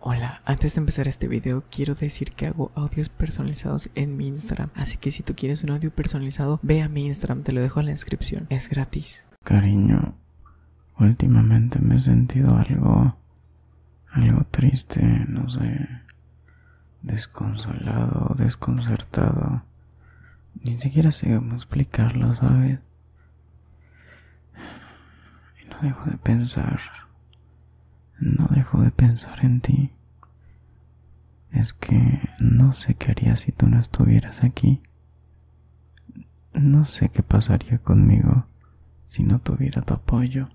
Hola, antes de empezar este video quiero decir que hago audios personalizados en mi Instagram, así que si tú quieres un audio personalizado, ve a mi Instagram, te lo dejo en la descripción, es gratis. Cariño, últimamente me he sentido algo, algo triste, no sé, desconsolado, desconcertado, ni siquiera sé cómo explicarlo, ¿sabes? Y no dejo de pensar no dejo de pensar en ti. Es que no sé qué haría si tú no estuvieras aquí. No sé qué pasaría conmigo si no tuviera tu apoyo.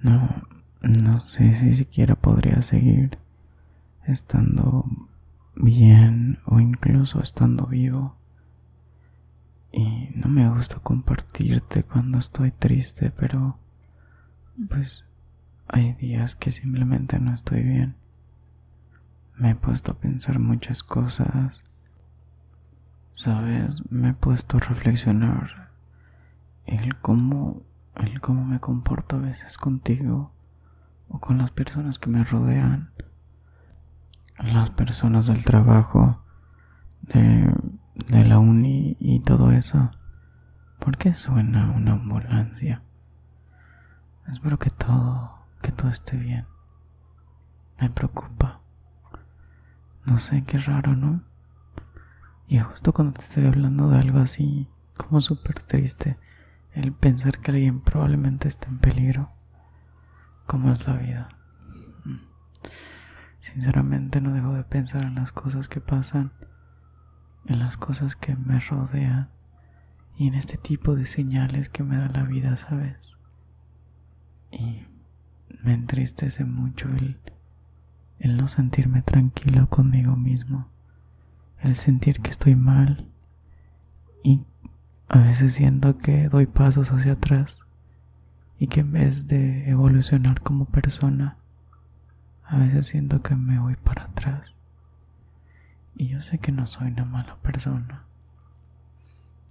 No, no sé si siquiera podría seguir estando bien o incluso estando vivo y no me gusta compartirte cuando estoy triste, pero pues hay días que simplemente no estoy bien. Me he puesto a pensar muchas cosas. Sabes, me he puesto a reflexionar el cómo el cómo me comporto a veces contigo o con las personas que me rodean. Las personas del trabajo de, la uni y todo eso. ¿Por qué suena una ambulancia? Espero que todo, que todo esté bien. Me preocupa. No sé, qué raro, ¿no? Y justo cuando te estoy hablando de algo así, como súper triste, el pensar que alguien probablemente esté en peligro, como es la vida. Sinceramente no dejo de pensar en las cosas que pasan, en las cosas que me rodean y en este tipo de señales que me da la vida, ¿sabes? Y me entristece mucho el, no sentirme tranquilo conmigo mismo, el sentir que estoy mal y a veces siento que doy pasos hacia atrás y que en vez de evolucionar como persona, a veces siento que me voy para atrás. Y yo sé que no soy una mala persona.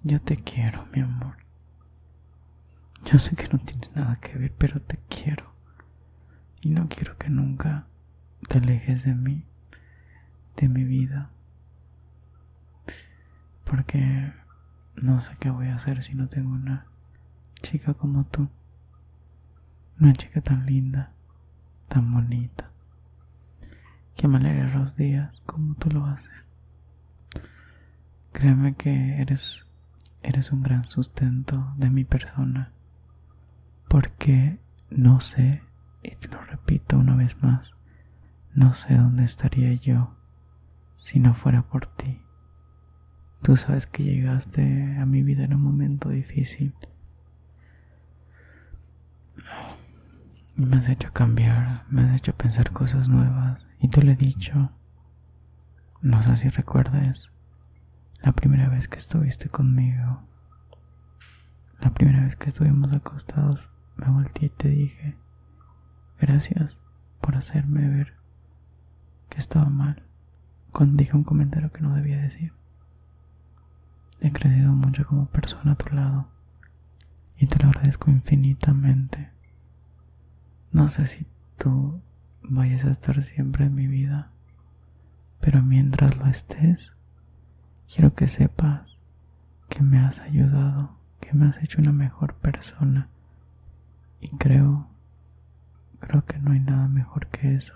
Yo te quiero, mi amor. Yo sé que no tiene nada que ver, pero te quiero. Y no quiero que nunca te alejes de mí, de mi vida. Porque no sé qué voy a hacer si no tengo una chica como tú. Una chica tan linda, tan bonita. Que me alegre los días como tú lo haces. Créeme que eres, eres un gran sustento de mi persona. Porque no sé, y te lo repito una vez más, no sé dónde estaría yo si no fuera por ti. Tú sabes que llegaste a mi vida en un momento difícil. Me has hecho cambiar, me has hecho pensar cosas nuevas y te lo he dicho. No sé si recuerdas la primera vez que estuviste conmigo. La primera vez que estuvimos acostados, me volteé y te dije, gracias por hacerme ver que estaba mal cuando dije un comentario que no debía decir. He crecido mucho como persona a tu lado y te lo agradezco infinitamente. No sé si tú vayas a estar siempre en mi vida, pero mientras lo estés, quiero que sepas que me has ayudado que me has hecho una mejor persona. Y creo, creo que no hay nada mejor que eso.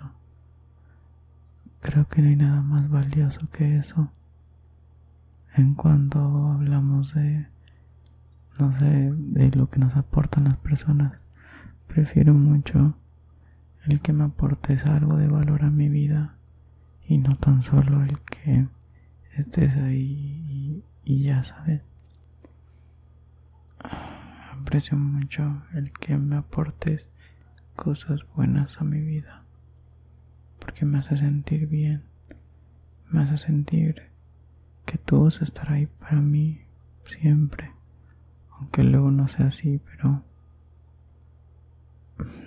Creo que no hay nada más valioso que eso. En cuanto hablamos de, no sé, de lo que nos aportan las personas, prefiero mucho el que me aportes algo de valor a mi vida y no tan solo el que estés ahí y ya sabes Aprecio mucho el que me aportes cosas buenas a mi vida, porque me hace sentir bien, me hace sentir que tú vas a estar ahí para mí siempre, aunque luego no sea así, pero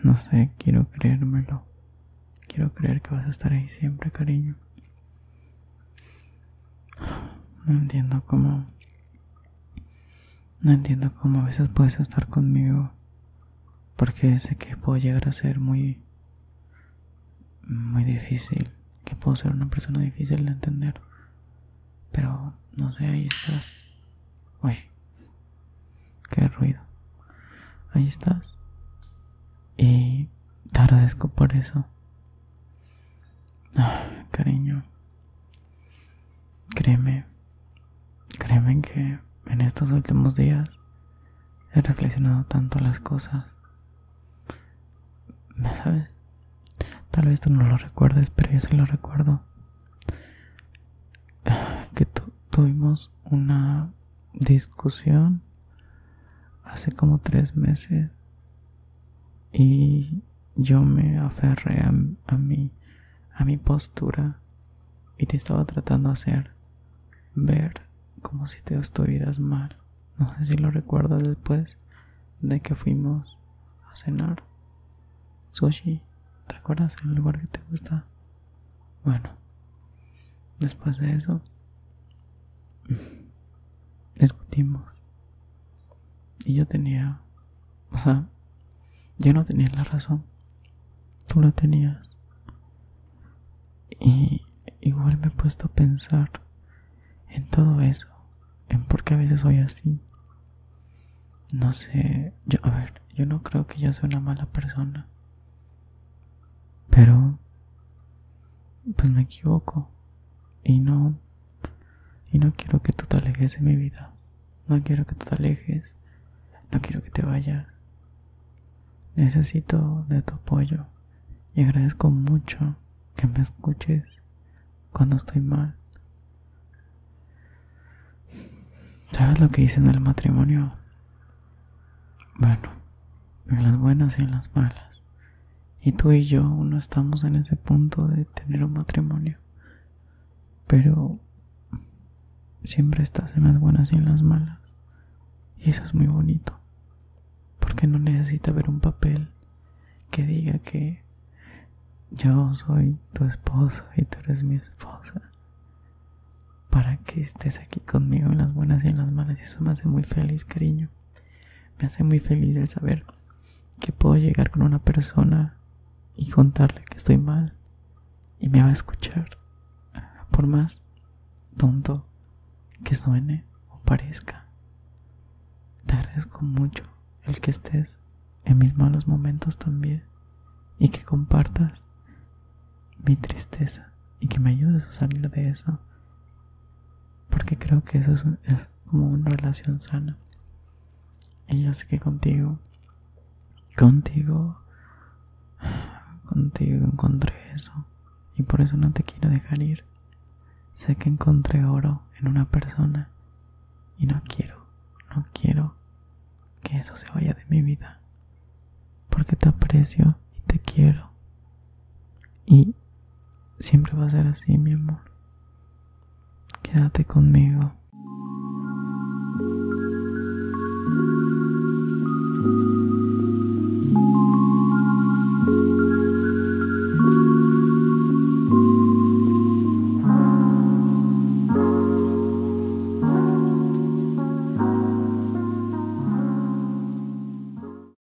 no sé, quiero creérmelo, quiero creer que vas a estar ahí siempre, cariño. No entiendo cómo... No entiendo cómo a veces puedes estar conmigo. Porque sé que puedo llegar a ser muy... Muy difícil. Que puedo ser una persona difícil de entender. Pero, no sé, ahí estás. Uy. Qué ruido. Ahí estás. Y te agradezco por eso. cariño, créeme, créeme que en estos últimos días he reflexionado tanto las cosas. sabes? Tal vez tú no lo recuerdes, pero yo sí lo recuerdo. Que tuvimos una discusión hace como tres meses y yo me aferré a, mi, mi postura y te estaba tratando de hacer ver como si te estuvieras mal. No sé si lo recuerdas después de que fuimos a cenar. Sushi, ¿te acuerdas el lugar que te gusta? Bueno, después de eso discutimos. Y yo tenía, o sea, yo no tenía la razón, tú la tenías. Y igual me he puesto a pensar en todo eso, en por qué a veces soy así. No sé, yo, a ver, yo no creo que yo sea una mala persona, pero pues me equivoco y no y no quiero que tú te alejes de mi vida no quiero que tú te alejes no quiero que te vayas necesito de tu apoyo y agradezco mucho que me escuches cuando estoy mal sabes lo que hice en el matrimonio bueno en las buenas y en las malas y tú y yo no estamos en ese punto de tener un matrimonio. Pero siempre estás en las buenas y en las malas. Y eso es muy bonito. Porque no necesita ver un papel que diga que yo soy tu esposo y tú eres mi esposa. Para que estés aquí conmigo en las buenas y en las malas. Y eso me hace muy feliz, cariño. Me hace muy feliz el saber que puedo llegar con una persona y contarle que estoy mal y me va a escuchar, por más tonto que suene o parezca. Te agradezco mucho el que estés en mis malos momentos también y que compartas mi tristeza y que me ayudes a salir de eso porque creo que eso es, como una relación sana. Y yo sé que contigo, contigo, contigo encontré eso. Y por eso no te quiero dejar ir. Sé que encontré oro en una persona. Y no quiero, no quiero que eso se vaya de mi vida. Porque te aprecio y te quiero. Y Siempre va a ser así, mi amor. Quédate conmigo.